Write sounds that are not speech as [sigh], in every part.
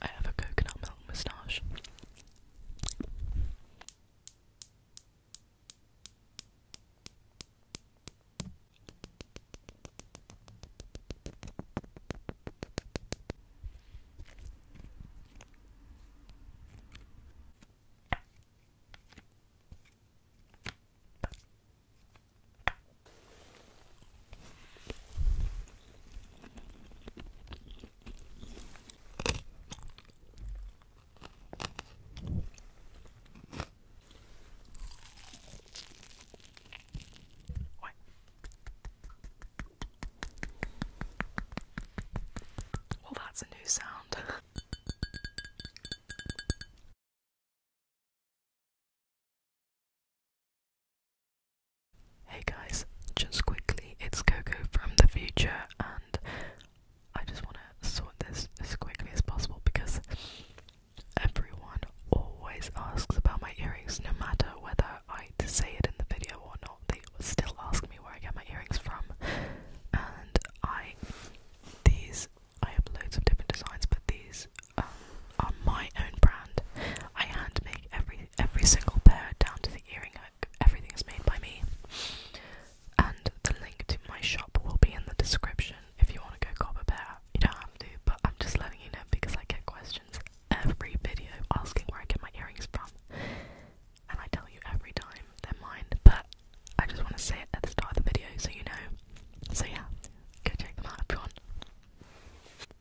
I have a coconut milk moustache. Well, that's a new sound. [laughs] Hey guys, just quickly, it's Coco from the future, and I just want to sort this as quickly as possible because everyone always asks about my earrings, no matter whether I say it in the video or not. They still ask me where I get my earrings from, and I these I have loads of different designs, but these um, are my own brand. I hand make every every single pair down to the earring hook. Everything is made by me. And the link to my shop will be in the description if you want to go cop a pair. You don't have to, but I'm just letting you know because I get questions every video asking where I get my earrings from. And I tell you every time they're mine, but I just want to say it at the start of the video so you know. So yeah, go check them out if you want.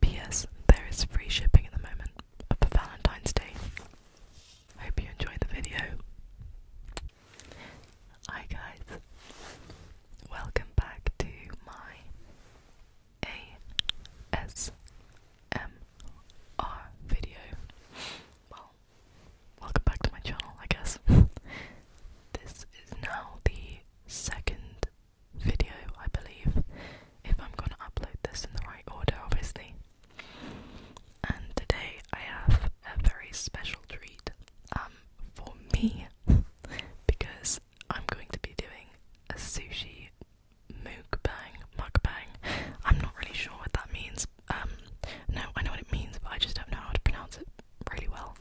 P.S. There is free shipping at the moment for Valentine's Day. Hope you enjoyed the video. Hi guys, welcome back to my ASMR video. Well, welcome back to my channel, I guess. [laughs] this is now the second video, I believe, if I'm gonna upload this in the right order, obviously. And today I have a very special treat um, for me [laughs] because I'm going to be doing a sushi mukbang, mukbang. I'm not really sure what that means. Um, no, I know what it means, but I just don't know how to pronounce it really well.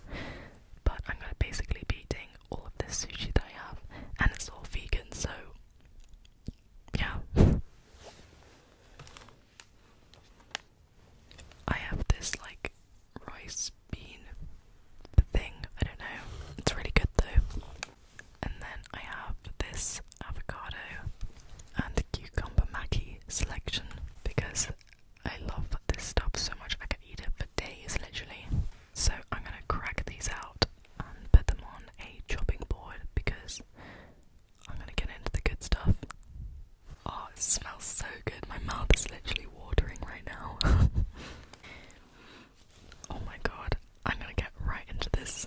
But I'm gonna basically be eating all of this sushi that I have, and it's all vegan, so yeah. I have this like rice bean thing, I don't know. It's really good though. And then I have this avocado and cucumber maki selection because I love this stuff so much. I could eat it for days, literally. So I'm gonna crack these out and put them on a chopping board because I'm gonna get into the good stuff. Oh, it smells so good. My mouth is literally watering right now. [laughs] oh my god, I'm gonna get right into this.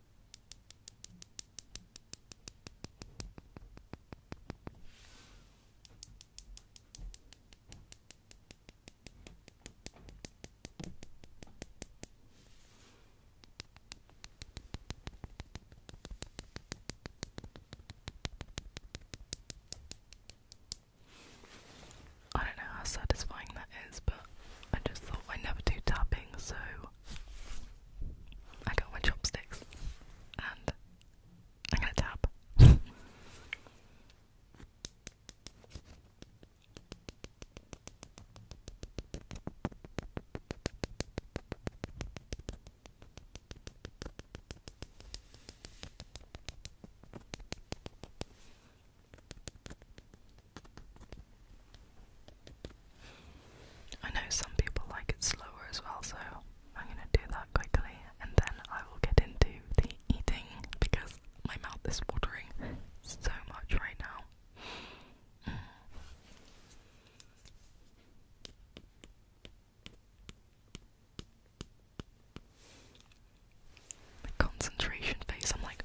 I don't know how satisfying that is, but I just thought I never do tapping, so I got my chopsticks and I'm gonna tap. I know some people like it slower as well, so I'm gonna do that quickly and then I will get into the eating because my mouth is watering so much right now. Mm. The concentration face, I'm like,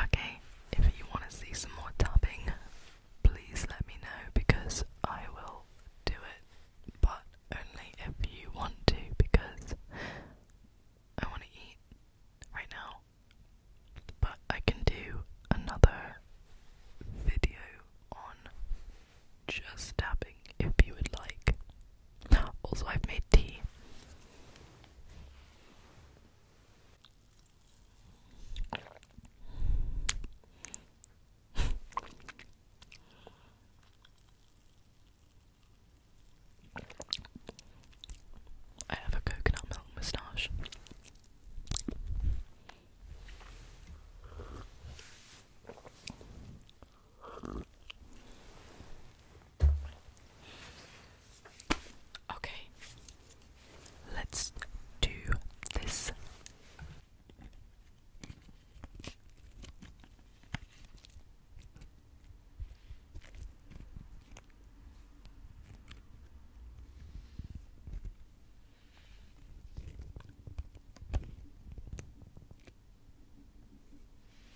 Okay, if you want to see some more tapping, please let me know because I will do it, but only if you want to because I want to eat right now. But I can do another video on just tapping if you would like. Also, I've made tea. I have a coconut milk moustache. Okay, let's do this.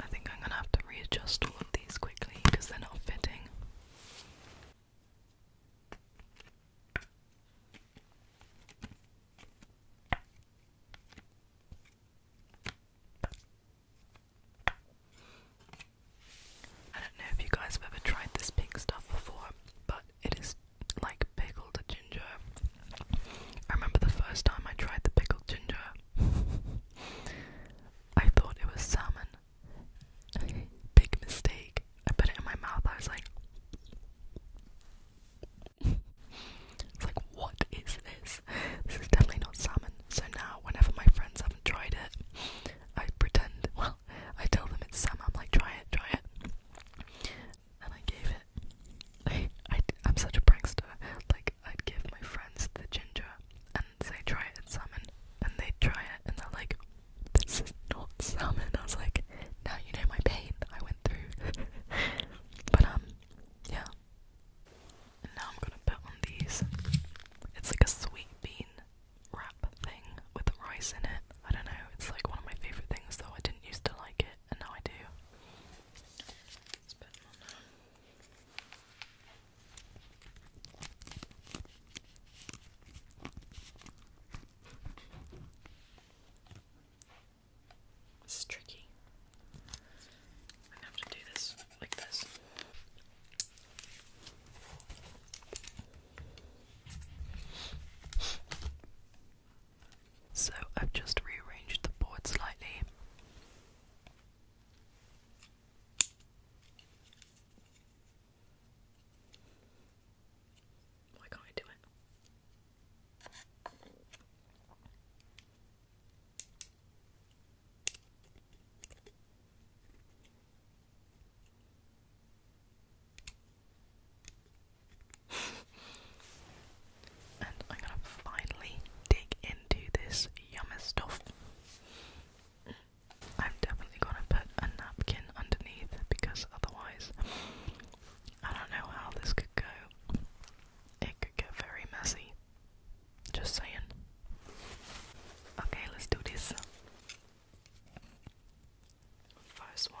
I think I'm gonna have to readjust all of these quickly because they're not fitting. I don't know if you guys have ever tried this pink stuff before, but it is like pickled ginger. I remember the first time I tried the pickled ginger. I thought it was salmon. Big mistake. I put it in my mouth, I was like It's like what is this? This is definitely not salmon. So now whenever my friends haven't tried it, I pretend, [laughs] well, I tell them it's Sam, I'm like, try it, try it. And I gave it. I, I, am such a prankster. Like, I'd give my friends the ginger and say, try it, it's salmon. And they'd try it, and they're like, this is not salmon. I was like, now you know my pain I went through. [laughs] but, um, yeah. now I'm gonna put on these. It's like a sweet bean wrap thing with rice in it. I don't know, it's like one of my favourite things though. I didn't used to like it and now I do. This is tricky. I'm gonna have to do this like this. So I've just rearranged the board slightly. Why can't I do it? and I'm gonna finally dig into this yummy stuff. I'm definitely gonna put a napkin underneath because otherwise, I don't know how this could go. It could get very messy. Just saying. Okay, let's do this. First one.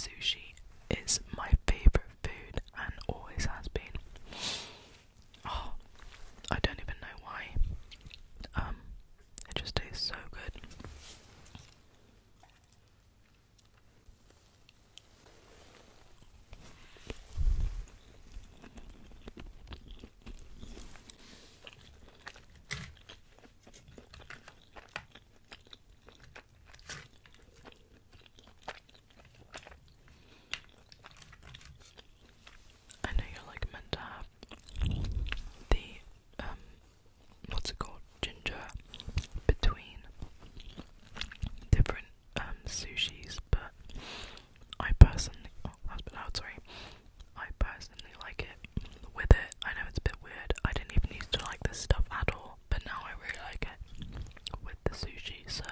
Sushi is my favorite food and always has been. Oh, I don't even know why. Um, it just tastes so good. I know you're like meant to have the um, what's it called? Ginger between different um sushis, but I personally oh that sorry. I personally like it with it. I know it's a bit weird. I didn't even used to like this stuff at all, but now I really like it with the sushi, so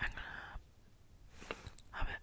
I'm gonna have it.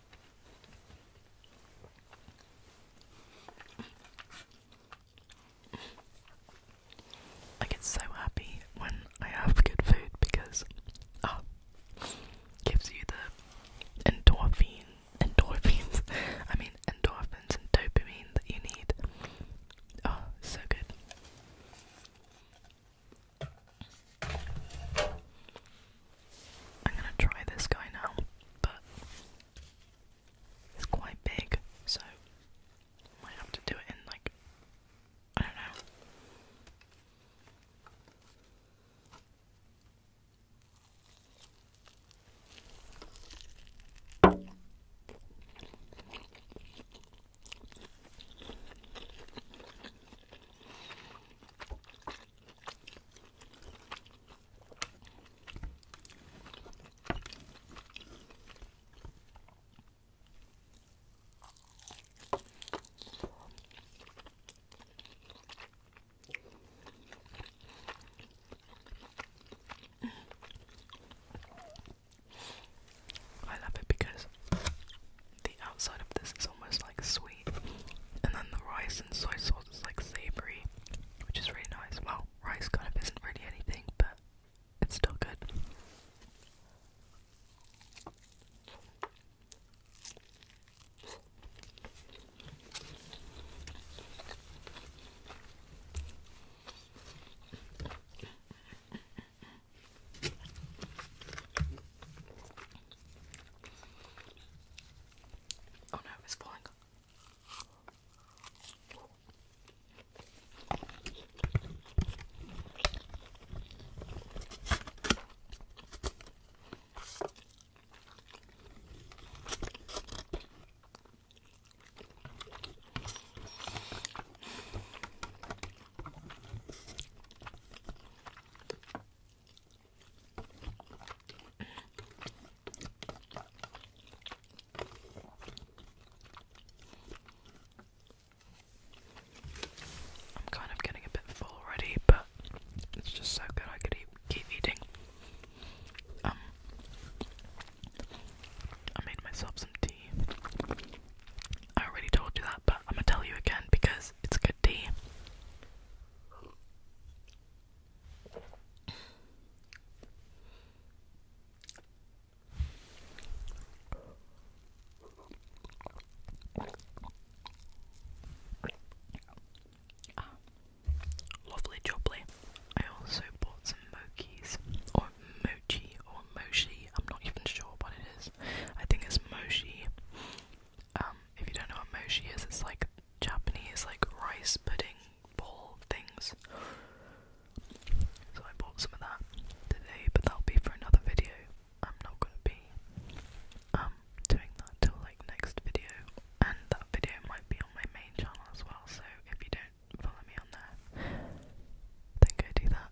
I get so happy when I have good food because ah oh, gives you the endorphins, endorphins [laughs] I mean endorphins and dopamine that you need. Oh, so good. I'm gonna try this guy now, but it's quite big, so might have to do it in like I don't know. I love it because the outside of this is almost like sweet. And then the rice and soy sauce is like savory, which is really nice. Well, rice kind of isn't really anything, but it's still good. Oh no, it's falling. I'm kind of getting a bit full already, but it's just so good I could keep eating. Um, I made myself some tea. I already told you that, but I'm gonna tell you again because it's good tea. Ah, lovely jubbly. I also bought some mochis, or mochi, or mochi. I'm not even sure what it is. I think it's mochi. Um, if you don't know what mochi is, it's like Japanese like rice pudding ball things. So I bought some of that today, but that'll be for another video. I'm not gonna be um doing that till like next video, and that video might be on my main channel as well. So if you don't follow me on there, then go do that.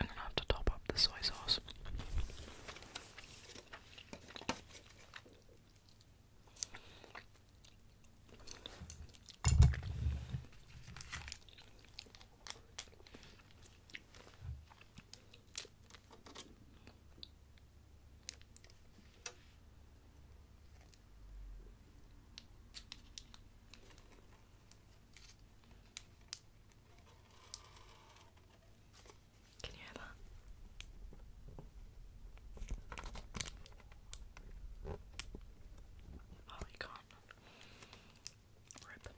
I'm gonna have to top up the soy sauce. Can you hear that? Oh, you can't. Rip.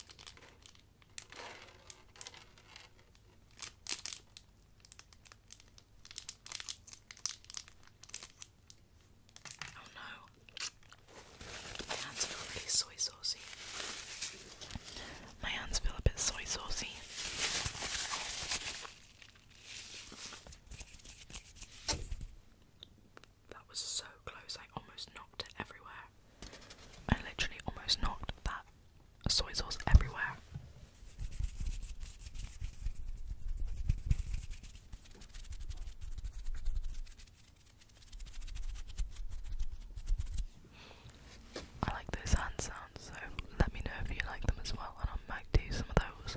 Oh no. My hands feel a soy saucy. My hands feel a bit soy saucy. That was so close, I almost knocked it everywhere. I literally almost knocked that soy sauce everywhere. I like those hand sounds, so let me know if you like them as well, and I might do some of those.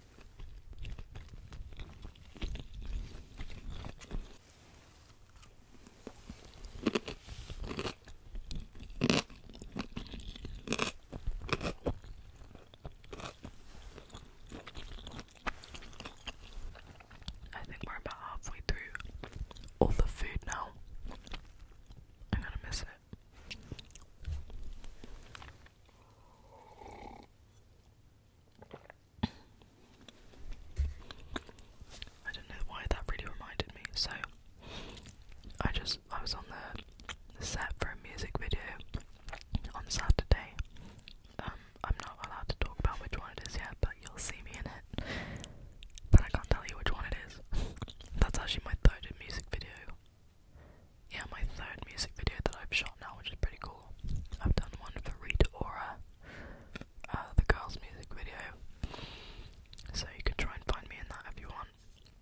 I think we're about halfway through all the food now. I'm gonna miss it. I don't know why that really reminded me. So I just I was on the set for a music video on Saturday. Um, I'm not allowed to talk about which one it is yet, but you'll see me in it. But I can't tell you which one it is. [laughs] That's actually my third music video yeah, my third music video that I've shot now, which is pretty cool. I've done one for Rita Ora, uh, the girls' music video. So you can try and find me in that if you want.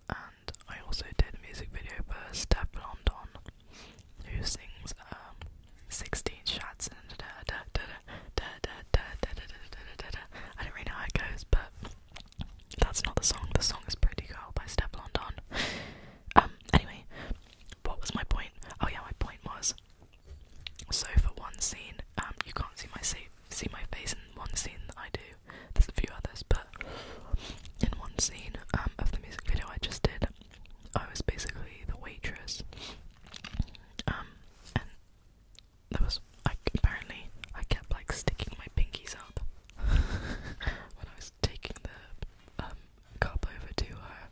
And I also did a music video for Steph Blondon, who sings um, 16 shots and da da da da da da da da da da I don't really know how it goes, but that's not the song. The song is Pretty Girl by Steph Blondon. Um, anyway, what was my point? Oh yeah, my point was. So for one scene, um, you can't see my see, see my face in one scene that I do. There's a few others, but in one scene um, of the music video I just did, I was basically the waitress. Um, and there was like apparently I kept like sticking my pinkies up [laughs] taking the um, cup over to her,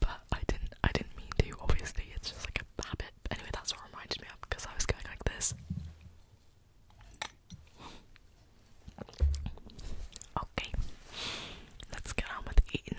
but I didn't. I didn't mean to. Obviously, it's just like a habit. But anyway, that's what reminded me of because I was going like this. Okay, let's get on with eating.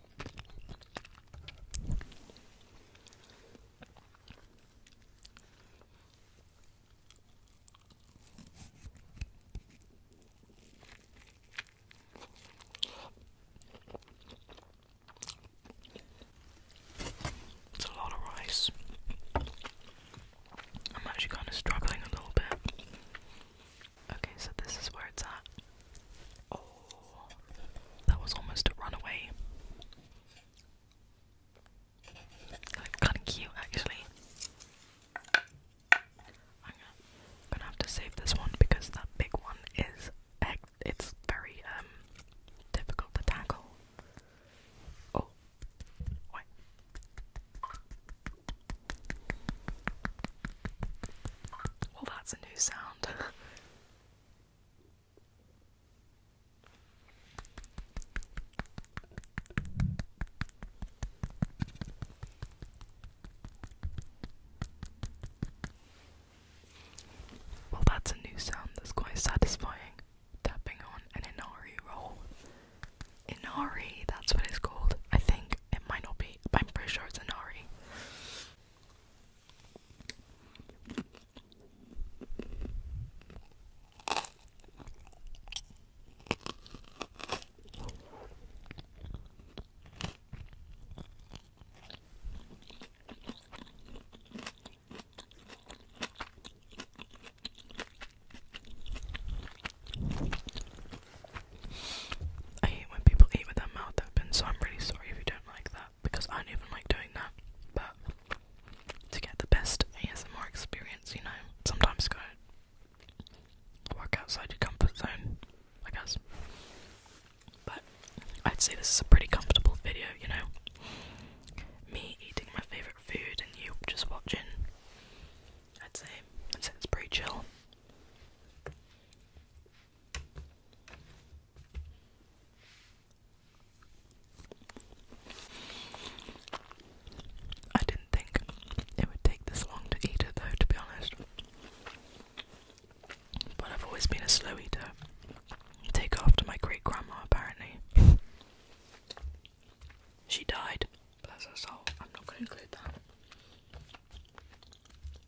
It's a lot of rice. I'm actually kind of struggling a little bit. Okay, so this is where it's at. Oh, that was almost a runaway. kind of cute, actually. I'm gonna have to save this one because that big one is it's very um difficult to tackle. Oh, wait. Well, that's a new sound. [laughs] Well, that's a new sound that's quite satisfying. Tapping on an Inari roll. Inari, that's what it's called. I think it might not be, but I'm pretty sure it's Inari. I hate when people eat with their mouth open, so I'm really sorry if you don't like that because I don't even like doing that. But to get the best ASMR experience, you know, sometimes go work outside your comfort zone, I guess. But I'd say this is a pretty comfortable video, you know. Me eating my favourite food and you just watching. i I'd say it's pretty chill. I didn't think it would take this long to eat it though, to be honest. But I've always been a slow eater. Take after my great grandma, apparently. She died. Bless her soul. I'm not going to include that.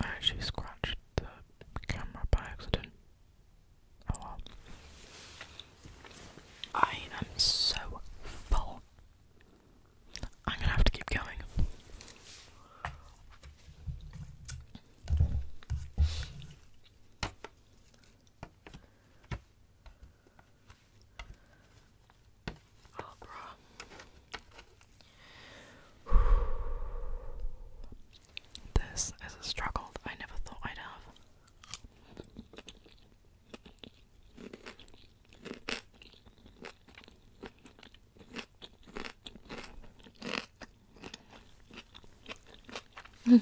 I actually scratched the camera by accident. Oh well. I am so full. I'm gonna have to keep going. Oh, bro. This is a struggle I never thought I'd have. Do [laughs] you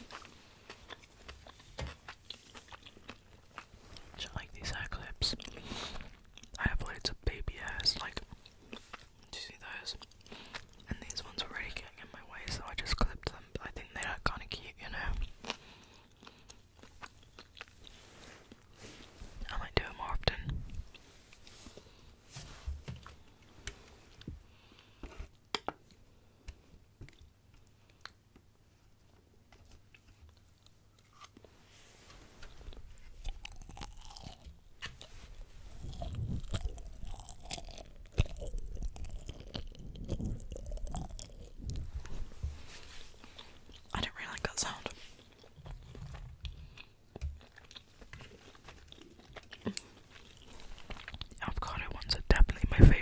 like these hair clips? I have loads of baby hairs, like, do you see those? And these ones were really getting in my way, so I just clipped them, but I think they look kinda cute, you know? I might do it more often. I do not really like that sound. Avocado ones are definitely my favourite.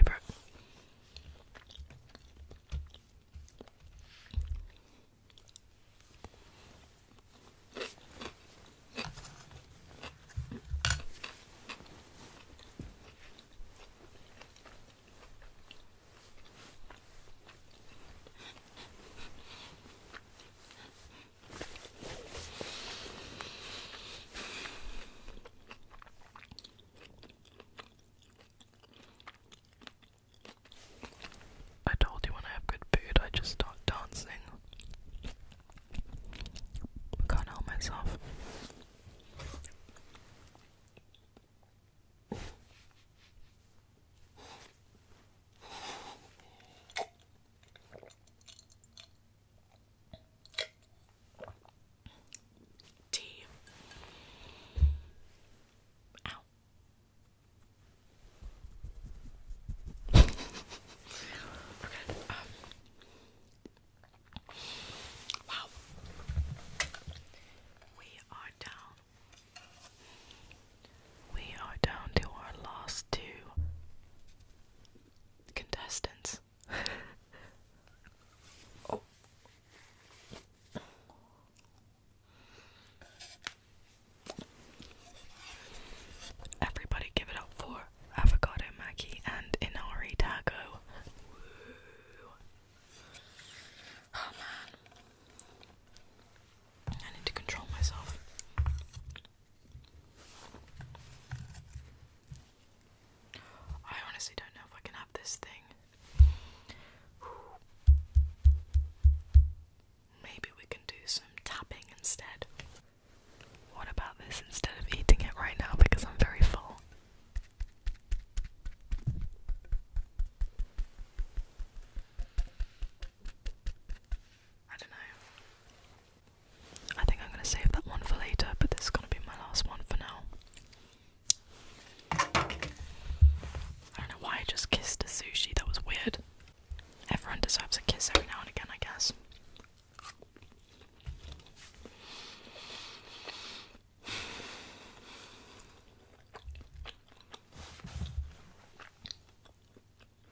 I told you when I have good food, I just start dancing. can't help myself. Tea. Ow. Um, wow. We are down we are down to our last two contestants. [laughs] oh. Everybody give it up for Avocado Maggie and Inari Taco. Oh man. I need to control myself. I honestly don't know if I can have this thing. Maybe we can do some tapping instead. What about this instead of eating it right now because I'm very full? I don't know. I think I'm going to save that one for later, but this is going to be my last one for now. I don't know why I just kissed a sushi, that was weird. Everyone deserves a kiss every now and again, I guess.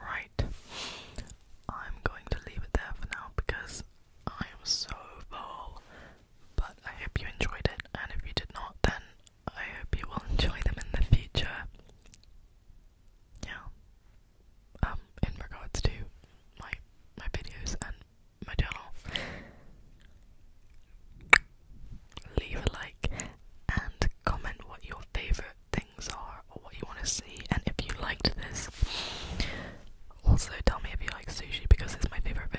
Right. I'm going to leave it there for now because I am so full. But I hope you enjoyed it, and if you did not, then I hope you will enjoy them in the future. Yeah. Um, in regards to my my videos and my channel. Leave a like and comment what your favourite things are or what you want to see and if you liked this. Also tell me if you like sushi because it's my favourite food.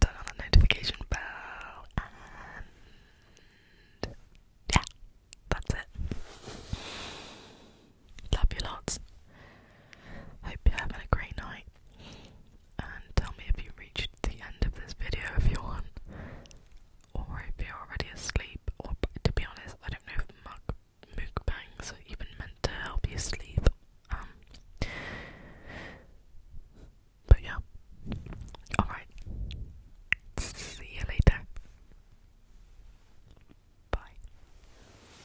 turn on the notification bell and yeah, that's it. Love you lots. Hope you're having a great night. And tell me if you reached the end of this video if you want. Or if you're already asleep. Or to be honest, I don't know if mug mukbangs are even meant to help you sleep. Um But yeah. Alright. See you later. Bye.